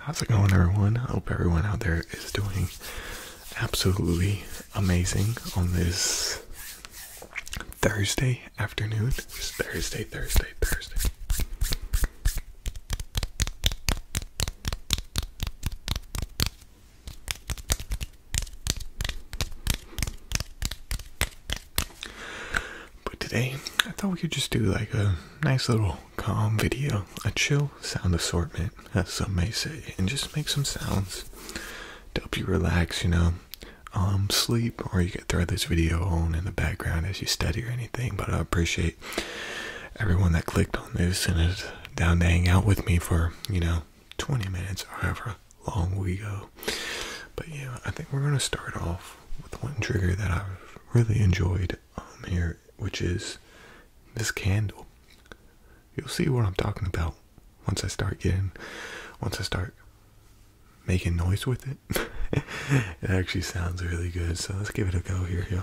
How's it going, everyone? I hope everyone out there is doing absolutely amazing on this Thursday afternoon. Thursday, Thursday, Thursday. But today, I thought we could just do like a nice little calm video, a chill sound assortment as some may say, and just make some sounds to help you relax, you know. Um, sleep, or you could throw this video on in the background as you study or anything. But I appreciate everyone that clicked on this and is down to hang out with me for you know 20 minutes or however long we go. But yeah, I think we're gonna start off with one trigger that I've really enjoyed um, here, which is this candle. You'll see what I'm talking about once I start getting, once I start making noise with it, it actually sounds really good. So let's give it a go here, you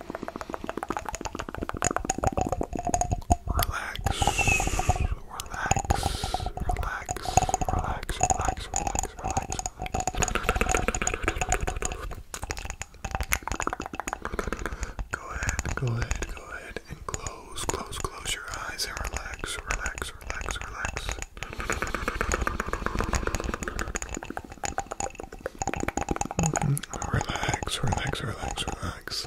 Relax, relax, relax, relax, relax, relax, relax, Go ahead, go ahead, go ahead, and close, close, close your eyes and relax, relax, relax, relax. Relax, relax, relax, relax.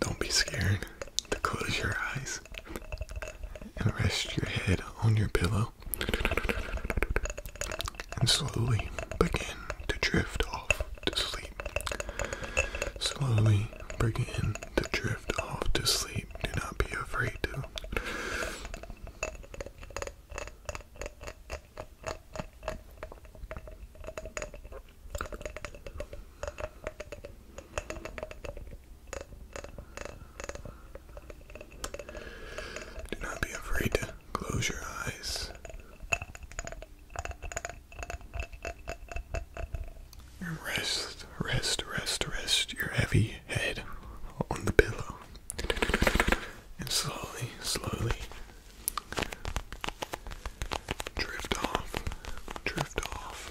Don't be scared to close your eyes and rest your head on your pillow and slowly begin begin to drift off to sleep. Slowly begin to drift off to sleep. Do not be afraid Do not be afraid to close your eyes. Rest, rest, rest, rest your heavy head on the pillow. And slowly, slowly drift off, drift off.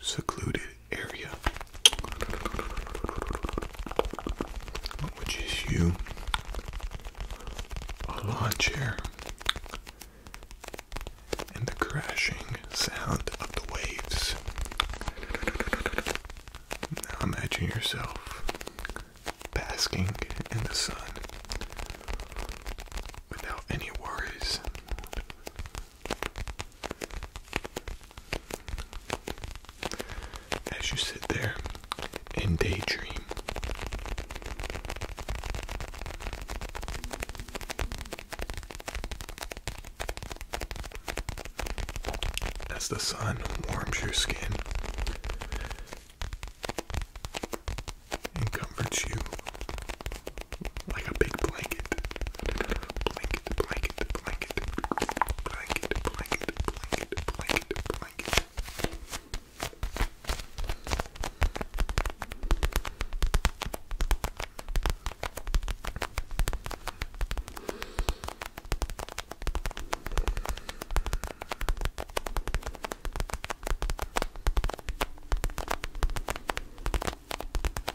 secluded area, which is you, a lawn chair, and the crashing sound of the waves. Now imagine yourself basking in the sun without any worries. As you sit there and daydream, as the sun warms your skin and comforts you like a big blanket. Blanket, blanket, blanket, blanket, blanket, blanket, blanket, blanket. Blanket,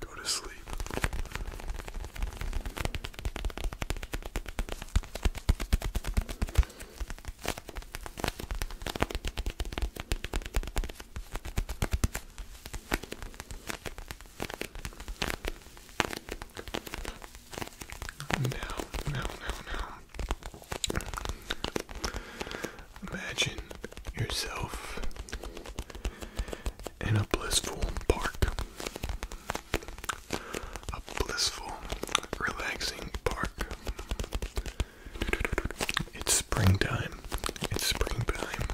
Go to sleep. Now, now, now, now. Imagine yourself in a blissful park. A blissful, relaxing park. It's springtime. It's springtime.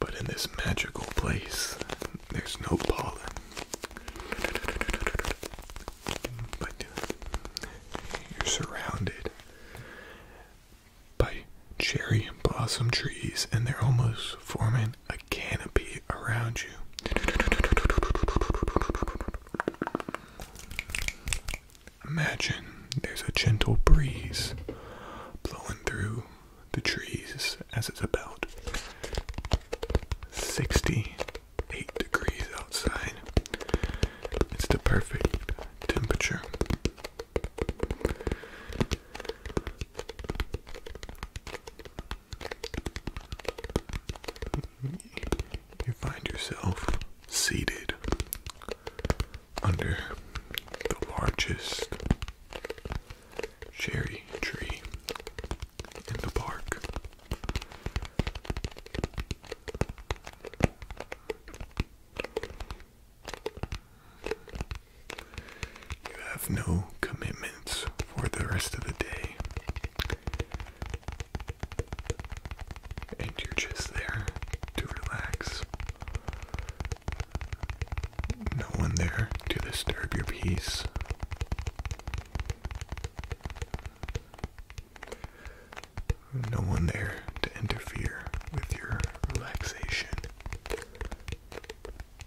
But in this magical place, there's no pollen. But you're surrounded by cherry blossom trees, and they're almost forming a canopy around you. Imagine there's a gentle breeze blowing through the trees as it's about 68 degrees outside. It's the perfect temperature You find yourself seated under the largest cherry tree in the park. You have no commitments for the rest of the day. And you're just there to relax. No one there to disturb your peace. No one there to interfere with your relaxation.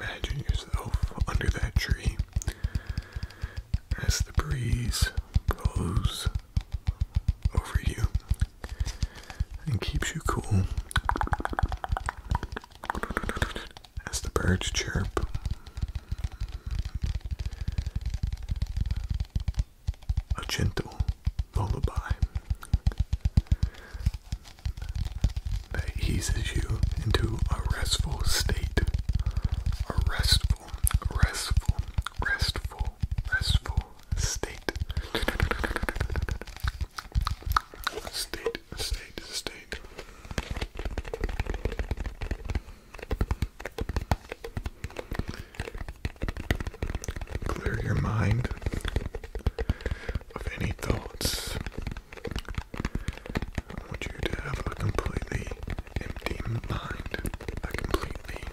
Imagine yourself under that tree as the breeze blows over you and keeps you cool as the birds chirp. A gentle lullaby that eases you into a restful state. A restful, restful, restful, restful state. State, state, state. Clear your mind of any thoughts. I want you to have a completely empty mind. A completely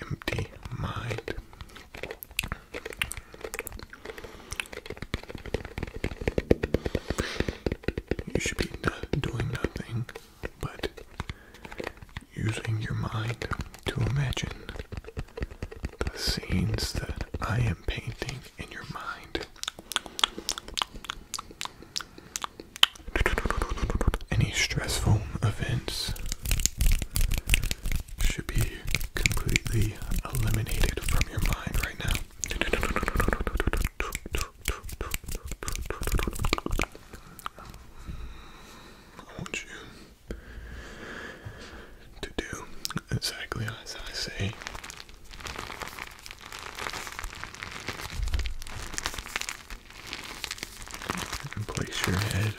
empty mind. You should be doing nothing but using your mind to imagine the scenes that I am painting in your mind. Any stressful events should be completely Eliminate it from your mind right now. I want you to do exactly as I say. place your head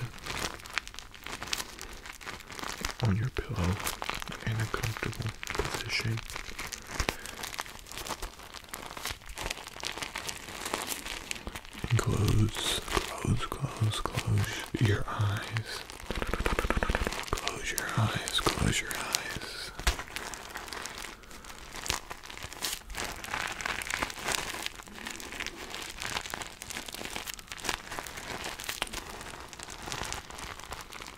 on your pillow in a comfortable position. close, close, close, close your eyes. Close your eyes, close your eyes.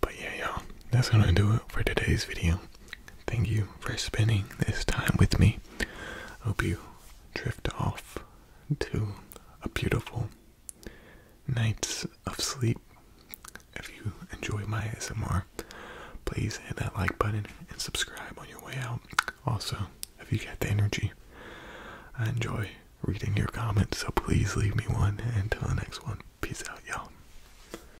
But yeah, y'all, that's gonna do it for today's video. Thank you for spending this time with me. Hope you drift off to a beautiful nights of sleep. If you enjoy my S M R, please hit that like button and subscribe on your way out. Also, if you get the energy, I enjoy reading your comments, so please leave me one. Until the next one, peace out, y'all.